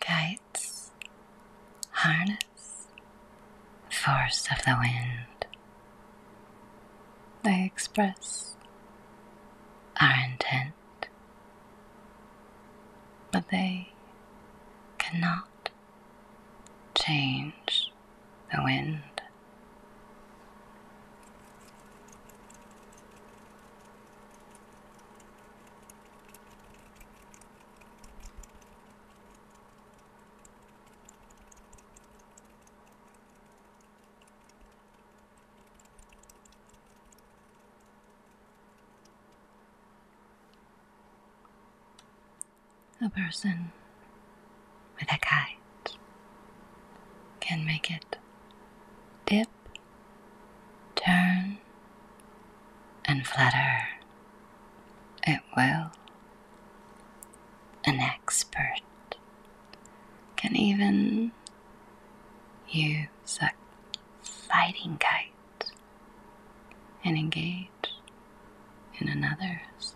Kites, harness, force of the wind. They express our intent but they cannot change the wind. A person with a kite can make it dip, turn, and flutter. It will. An expert can even use a fighting kite and engage in another's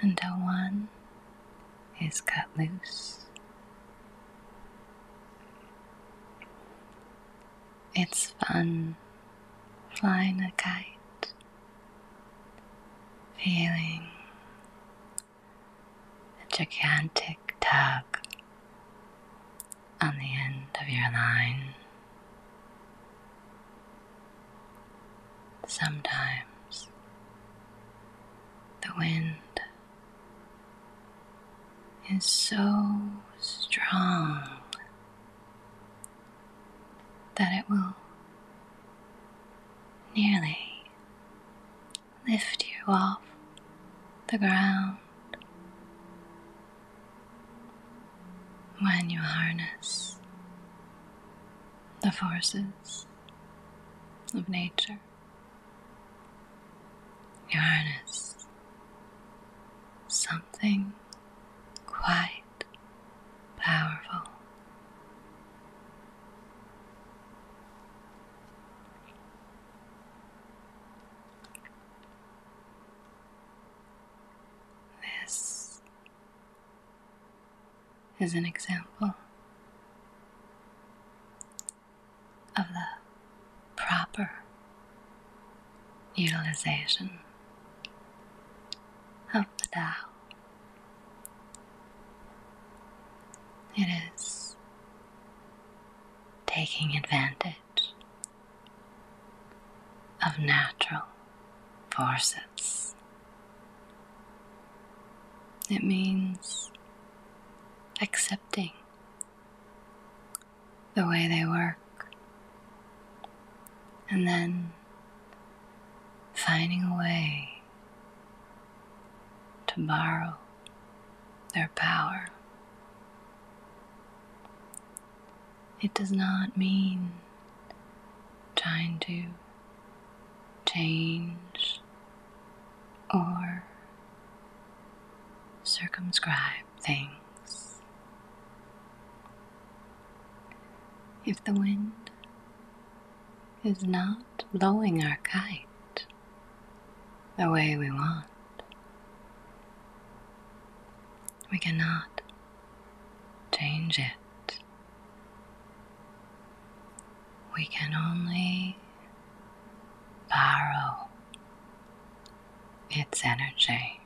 until one is cut loose. It's fun flying a kite, feeling a gigantic tug on the end of your line. Sometimes the wind is so strong that it will nearly lift you off the ground. When you harness the forces of nature, you harness something quite powerful. This is an example of the proper utilization of the Tao. It is taking advantage of natural forces. It means accepting the way they work and then finding a way tomorrow their power. It does not mean trying to change or circumscribe things. If the wind is not blowing our kite, the way we want. We cannot change it. We can only borrow its energy.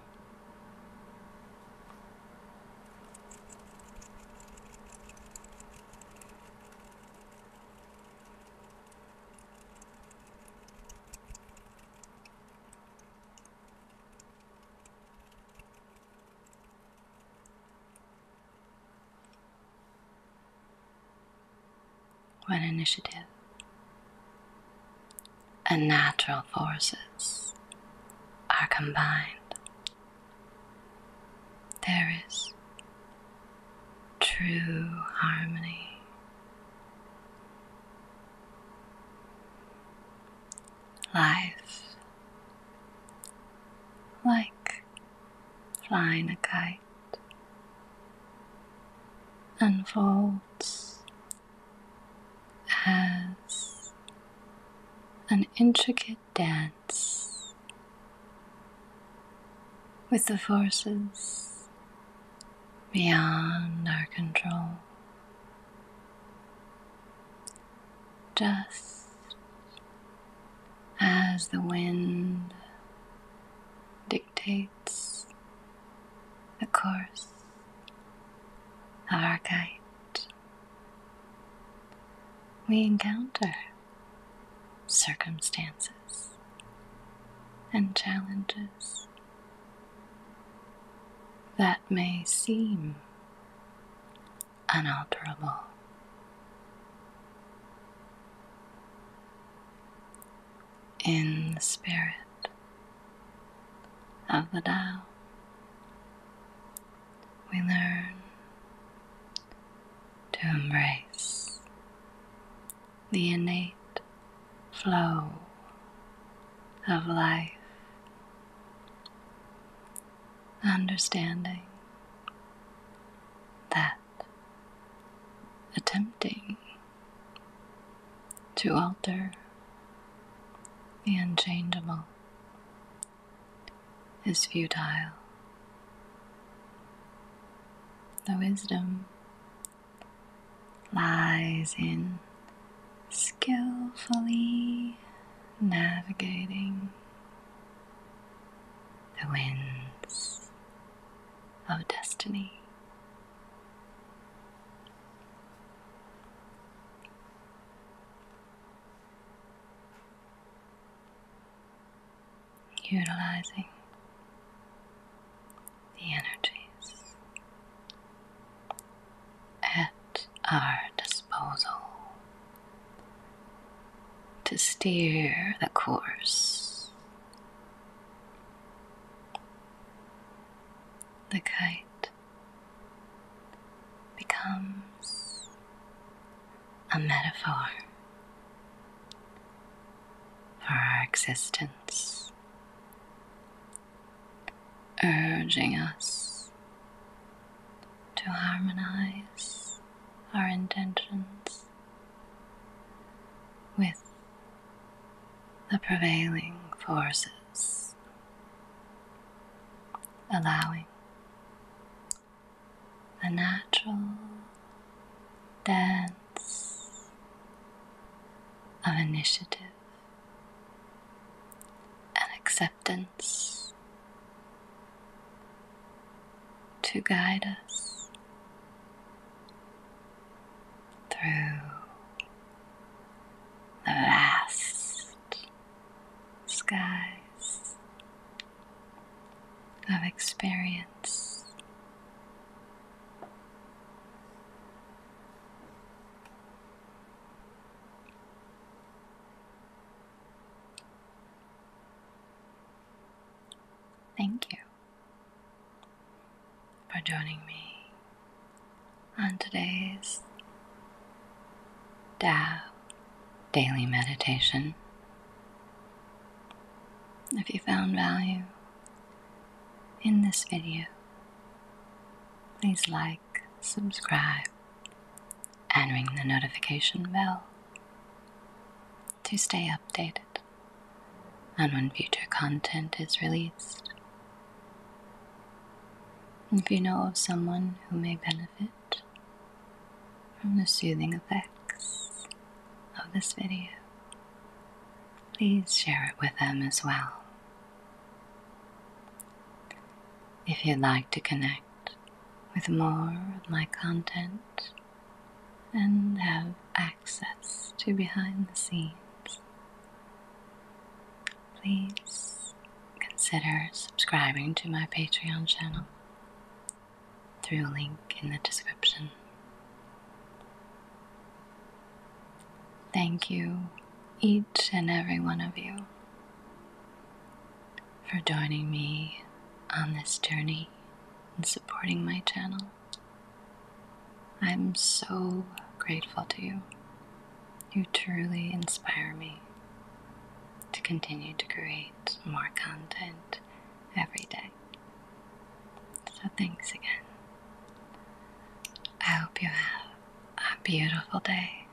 When initiative and natural forces are combined there is true harmony. Life, like flying a kite, unfolds as an intricate dance with the forces beyond our control. Just as the wind dictates the course of our kite, we encounter circumstances, and challenges that may seem unalterable. In the spirit of the Tao, we learn to embrace the innate flow of life, understanding that attempting to alter the unchangeable is futile. The wisdom lies in skillfully navigating the winds of destiny utilizing the energies at our disposal to steer the course. The kite becomes a metaphor for our existence, urging us to harmonize our intentions with the prevailing forces, allowing a natural dance of initiative and acceptance to guide us through the vast skies of experience. Thank you for joining me on today's Tao Daily Meditation. If you found value in this video, please like, subscribe, and ring the notification bell to stay updated on when future content is released. If you know of someone who may benefit from the soothing effects of this video, please share it with them as well. If you'd like to connect with more of my content and have access to behind the scenes, please consider subscribing to my Patreon channel through a link in the description. Thank you, each and every one of you, for joining me on this journey and supporting my channel. I'm so grateful to you. You truly inspire me to continue to create more content every day. So, thanks again. I hope you have a beautiful day.